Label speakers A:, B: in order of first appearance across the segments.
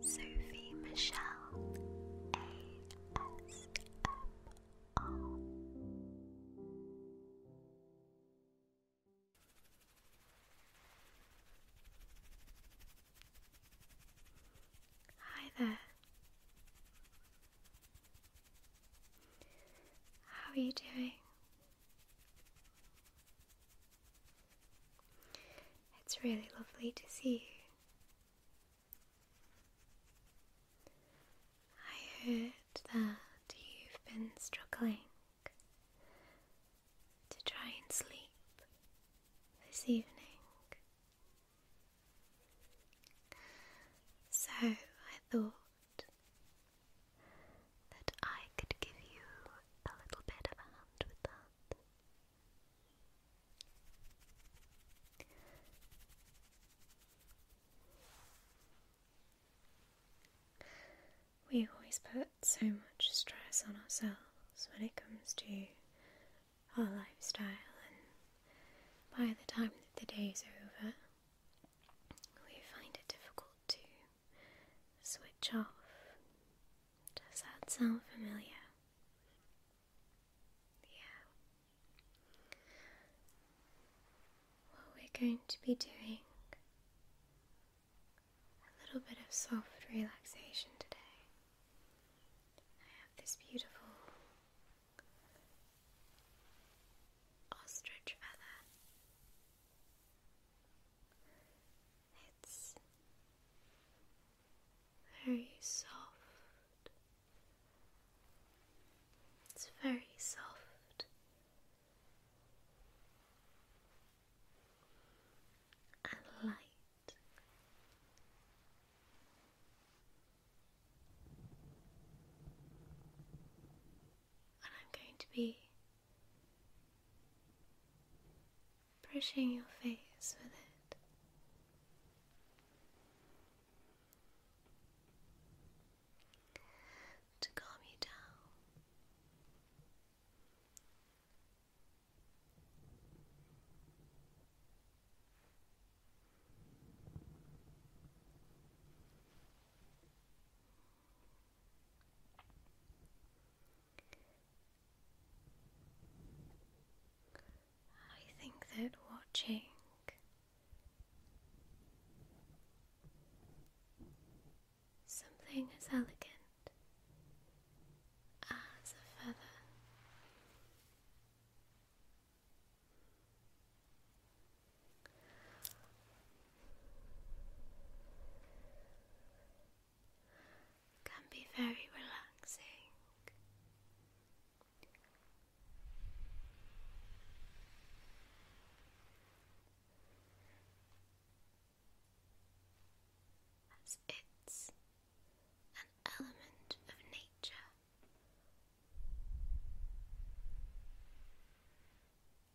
A: Sophie Michelle ASMR.
B: Hi there. How are you doing? It's really lovely to see you. I heard that you've been struggling to try and sleep this evening. So I thought that I could give you a little bit of a hand with that. We always put so much stress on ourselves when it comes to our lifestyle, and by the time that the day is over, we find it difficult to switch off. Does that sound familiar? Yeah. What we're going to be doing a little bit of soft relaxation today. I have this beautiful ostrich feather. It's very soft. It's very soft. And light. And I'm going to be brushing your face with it. To calm you down. I think that watching something as elegant as a feather can be very relaxing. it's an element of nature.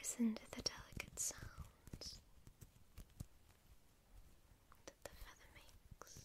B: Listen to the delicate sounds that the feather makes.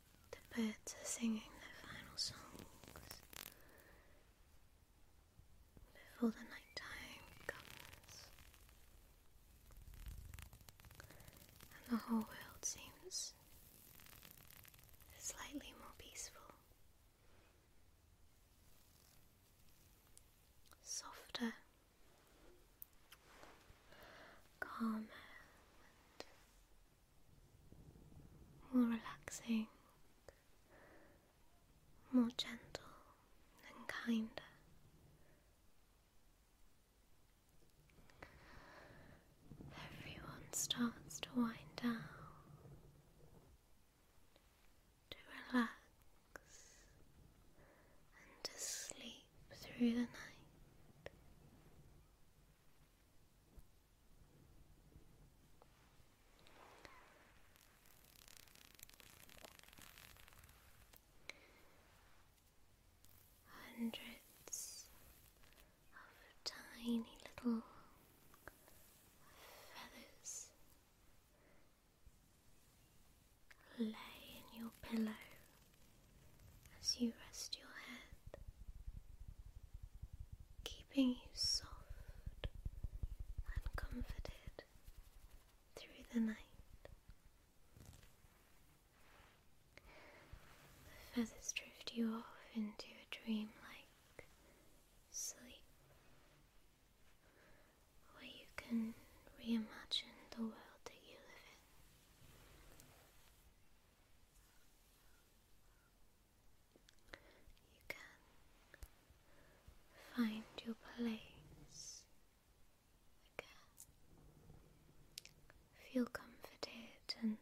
B: The birds are singing their final songs before the night time comes, and the whole world seems slightly more peaceful, softer, calmer more relaxing, more gentle and kinder. Everyone starts to wind down, to relax and to sleep through the night. Hundreds of tiny little feathers lay in your pillow as you rest your head, keeping you soft and comforted through the night. The feathers drift you off into a dreamlike sleep where you can reimagine the world that you live in. You can find your place Feel comforted and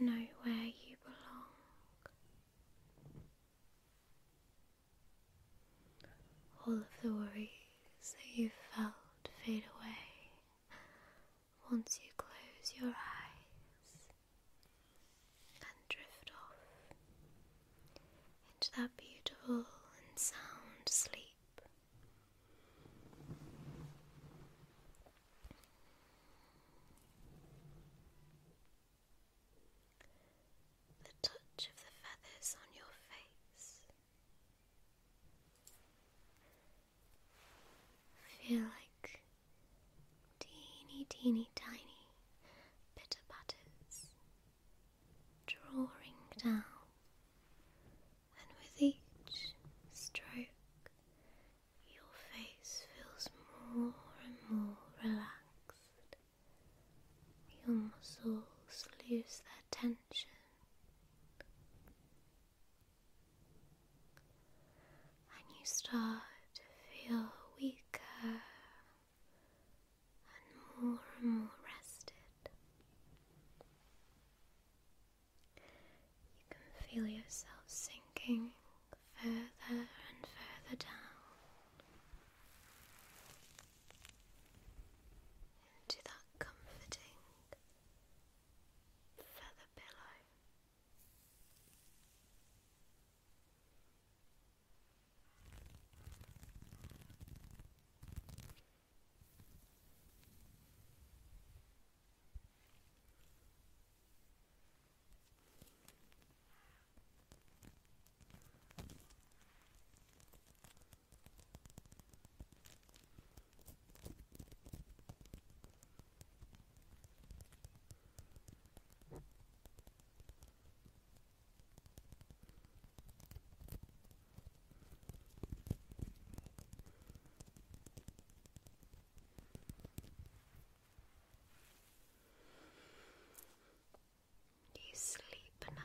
B: know where you belong. All of the worries that you felt fade away once you close your eyes and drift off into that beautiful and sound sleep. The touch of the feathers on your face feel like teeny, teeny, tiny bitter butters drawing down, and with each stroke, your face feels more and more relaxed. Your muscles lose their tension and you start to feel weaker and more and more rested. You can feel yourself sinking further and further down into that comforting feather pillow. You sleep now.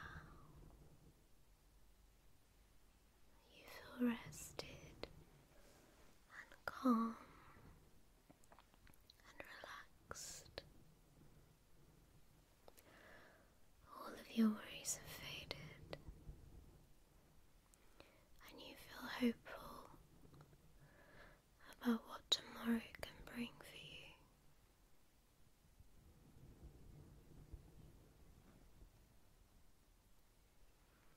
B: You feel rested and calm and relaxed. All of your worries have faded, and you feel hopeful about what tomorrow can bring for you.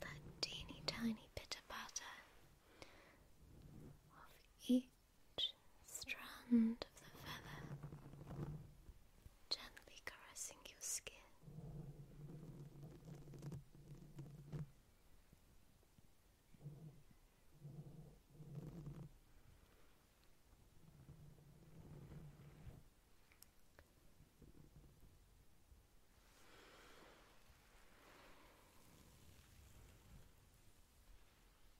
B: That teeny tiny bit of butter of each strand of the feather gently caressing your skin.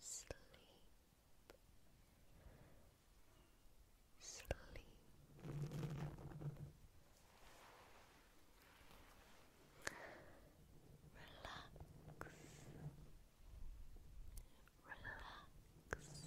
B: sleep, sleep. Relax, relax, relax. Relax,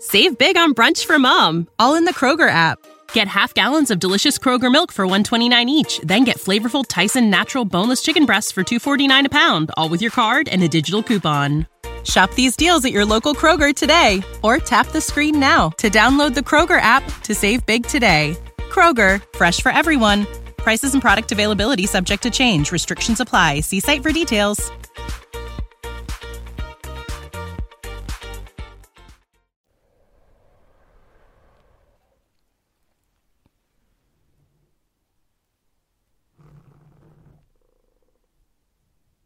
A: Save big on brunch for mom, all in the Kroger app. Get half gallons of delicious Kroger milk for 129 each, then get flavorful Tyson natural boneless chicken breasts for 249 a pound, all with your card and a digital coupon. Shop these deals at your local Kroger today or tap the screen now to download the Kroger app to save big today. Kroger, fresh for everyone. Prices and product availability subject to change. Restrictions apply. See site for details.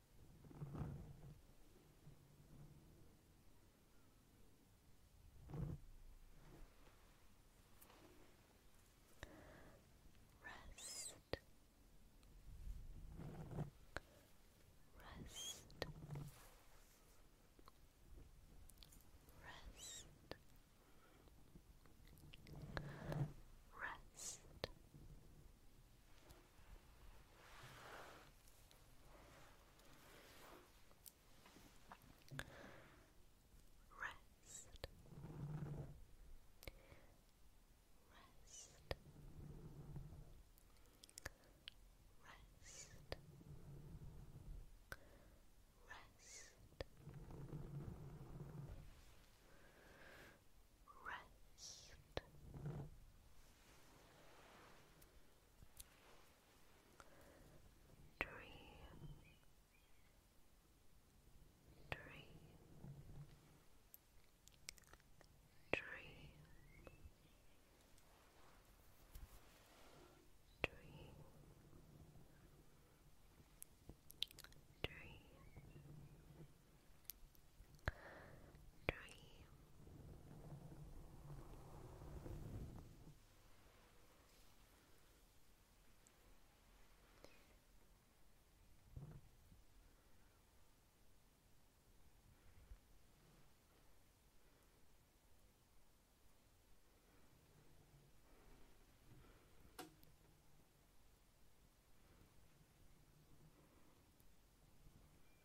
A: Rest. Rest. Rest. Rest. Rest. Rest. Rest. Rest. Rest dream, dream, dream,
B: dream. Dream, dream. Dream.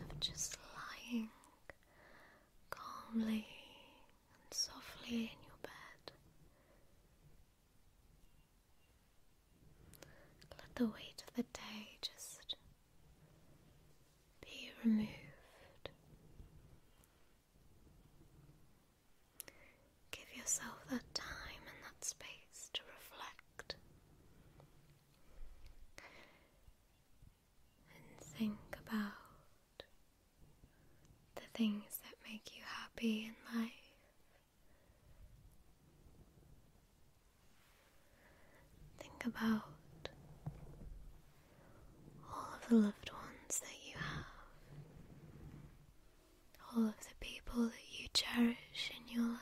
B: of just lying calmly and softly in your bed. Let the weight of the day just be removed. Give yourself that time and that space to reflect and think about the things that make you happy in life. Think about all of the loved ones that you have, all of the people that you cherish in your life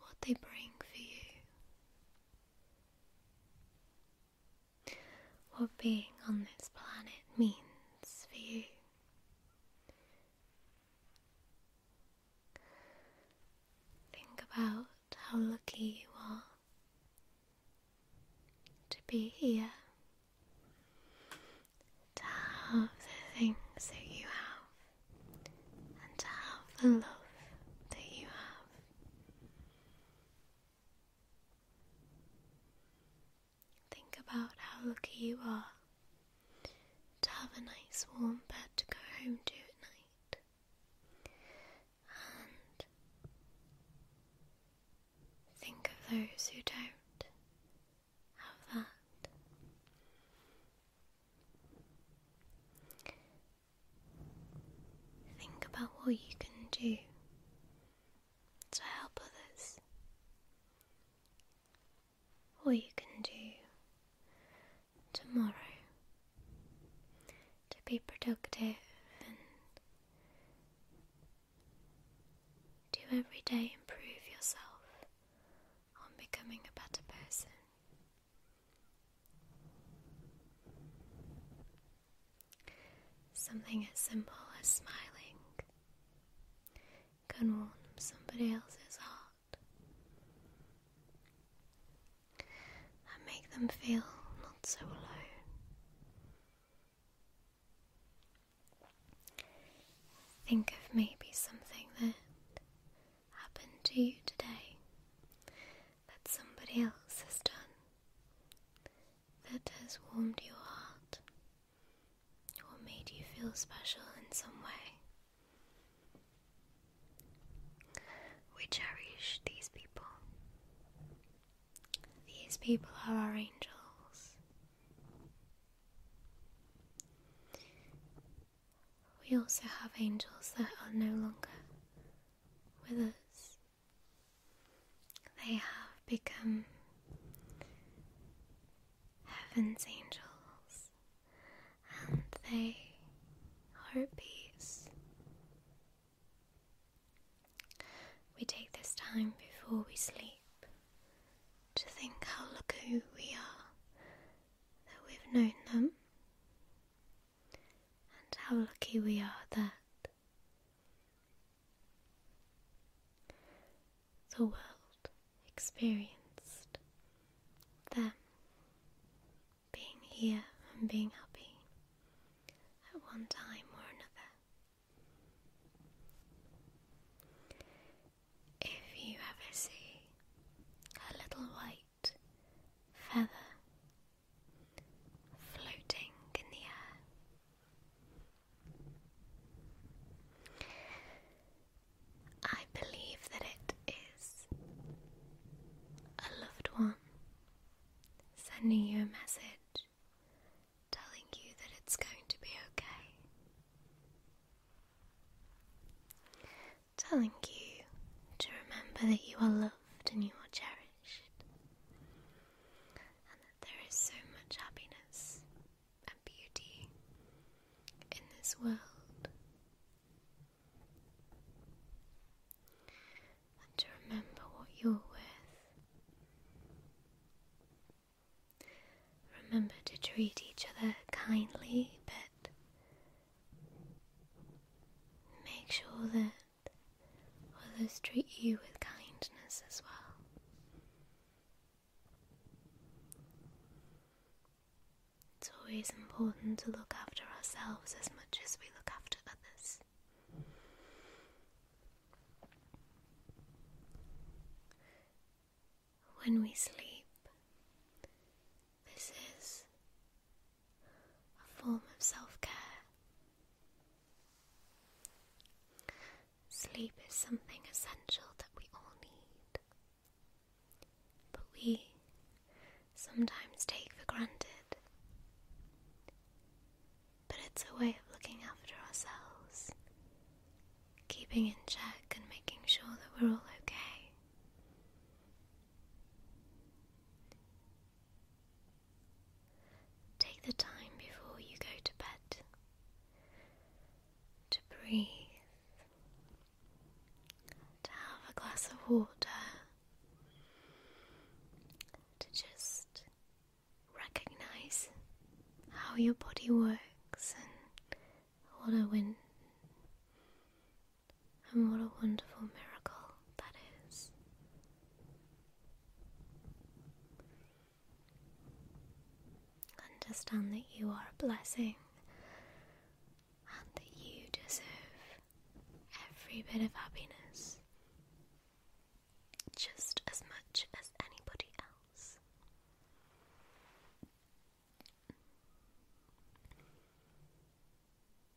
B: what they bring for you, what being on this planet means for you. Think about how lucky you are to be here, to have the things that you have and to have the love that you have. Think about how lucky you are to have a nice warm bed to go home to at night. And think of those who don't have that. Think about what you can do to help others, what you can do tomorrow to be productive and do every day improve yourself on becoming a better person. Something as simple as smiling can warm somebody else's heart and make them feel not so alone. Think of maybe something that happened to you today that somebody else has done that has warmed your heart or made you feel special in some way. We cherish these people. These people are our angels. We also have angels that are no longer with us. They have become heaven's angels and they are at peace. We take this time before we sleep to think how lucky we are that we've known them and how lucky we are that the world experienced them being here and being happy at one time or another. If you ever see a little white feather floating in the air. I believe that it is a loved one sending you a message telling you that it's going to be okay telling you to remember that you are loved and you are cherished, and that there is so much happiness and beauty in this world, and to remember what you are worth. Remember to treat each other kindly but Make sure that others treat you with kindness as well. It's always important to look after ourselves as much as we look after others. When we sleep, this is a form of self care. Sleep is something essential that we all need, but we sometimes take for granted. But it's a way of looking after ourselves, keeping in check and making sure that we're all okay. Take the time before you go to bed to breathe, to have a glass of water, to just recognize how your body works and what a win and what a wonderful miracle that is. Understand that you are a blessing and that you deserve every bit of happiness just as much as anybody else.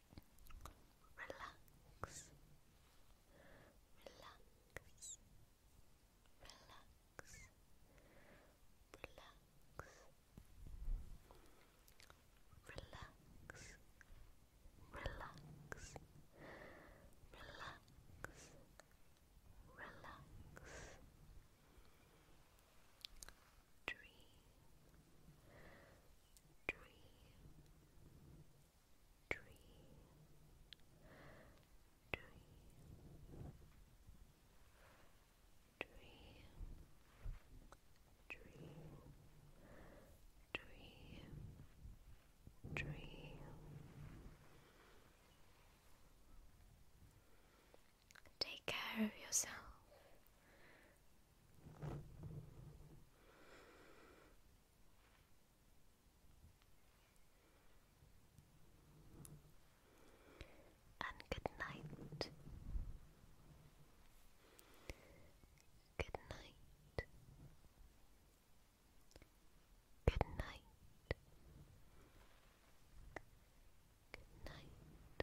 B: relax, relax, relax, relax, relax, relax, relax. Dream, dream, dream, dream, dream, Take care of yourself. And good night. Good night. Good night. Good night.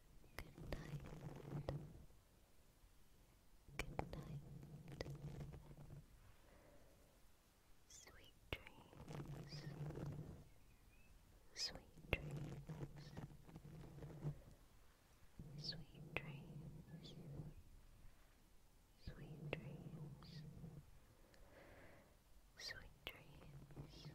B: Good night. Good night. Sweet dreams. Sweet dreams. Sweet dreams. Sweet dreams. Sweet dreams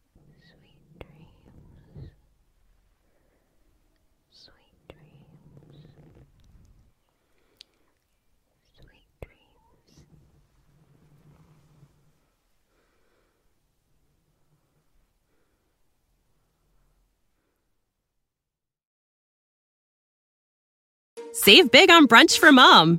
A: Sweet dreams. Sweet dreams. Sweet dreams. Save big on brunch for mom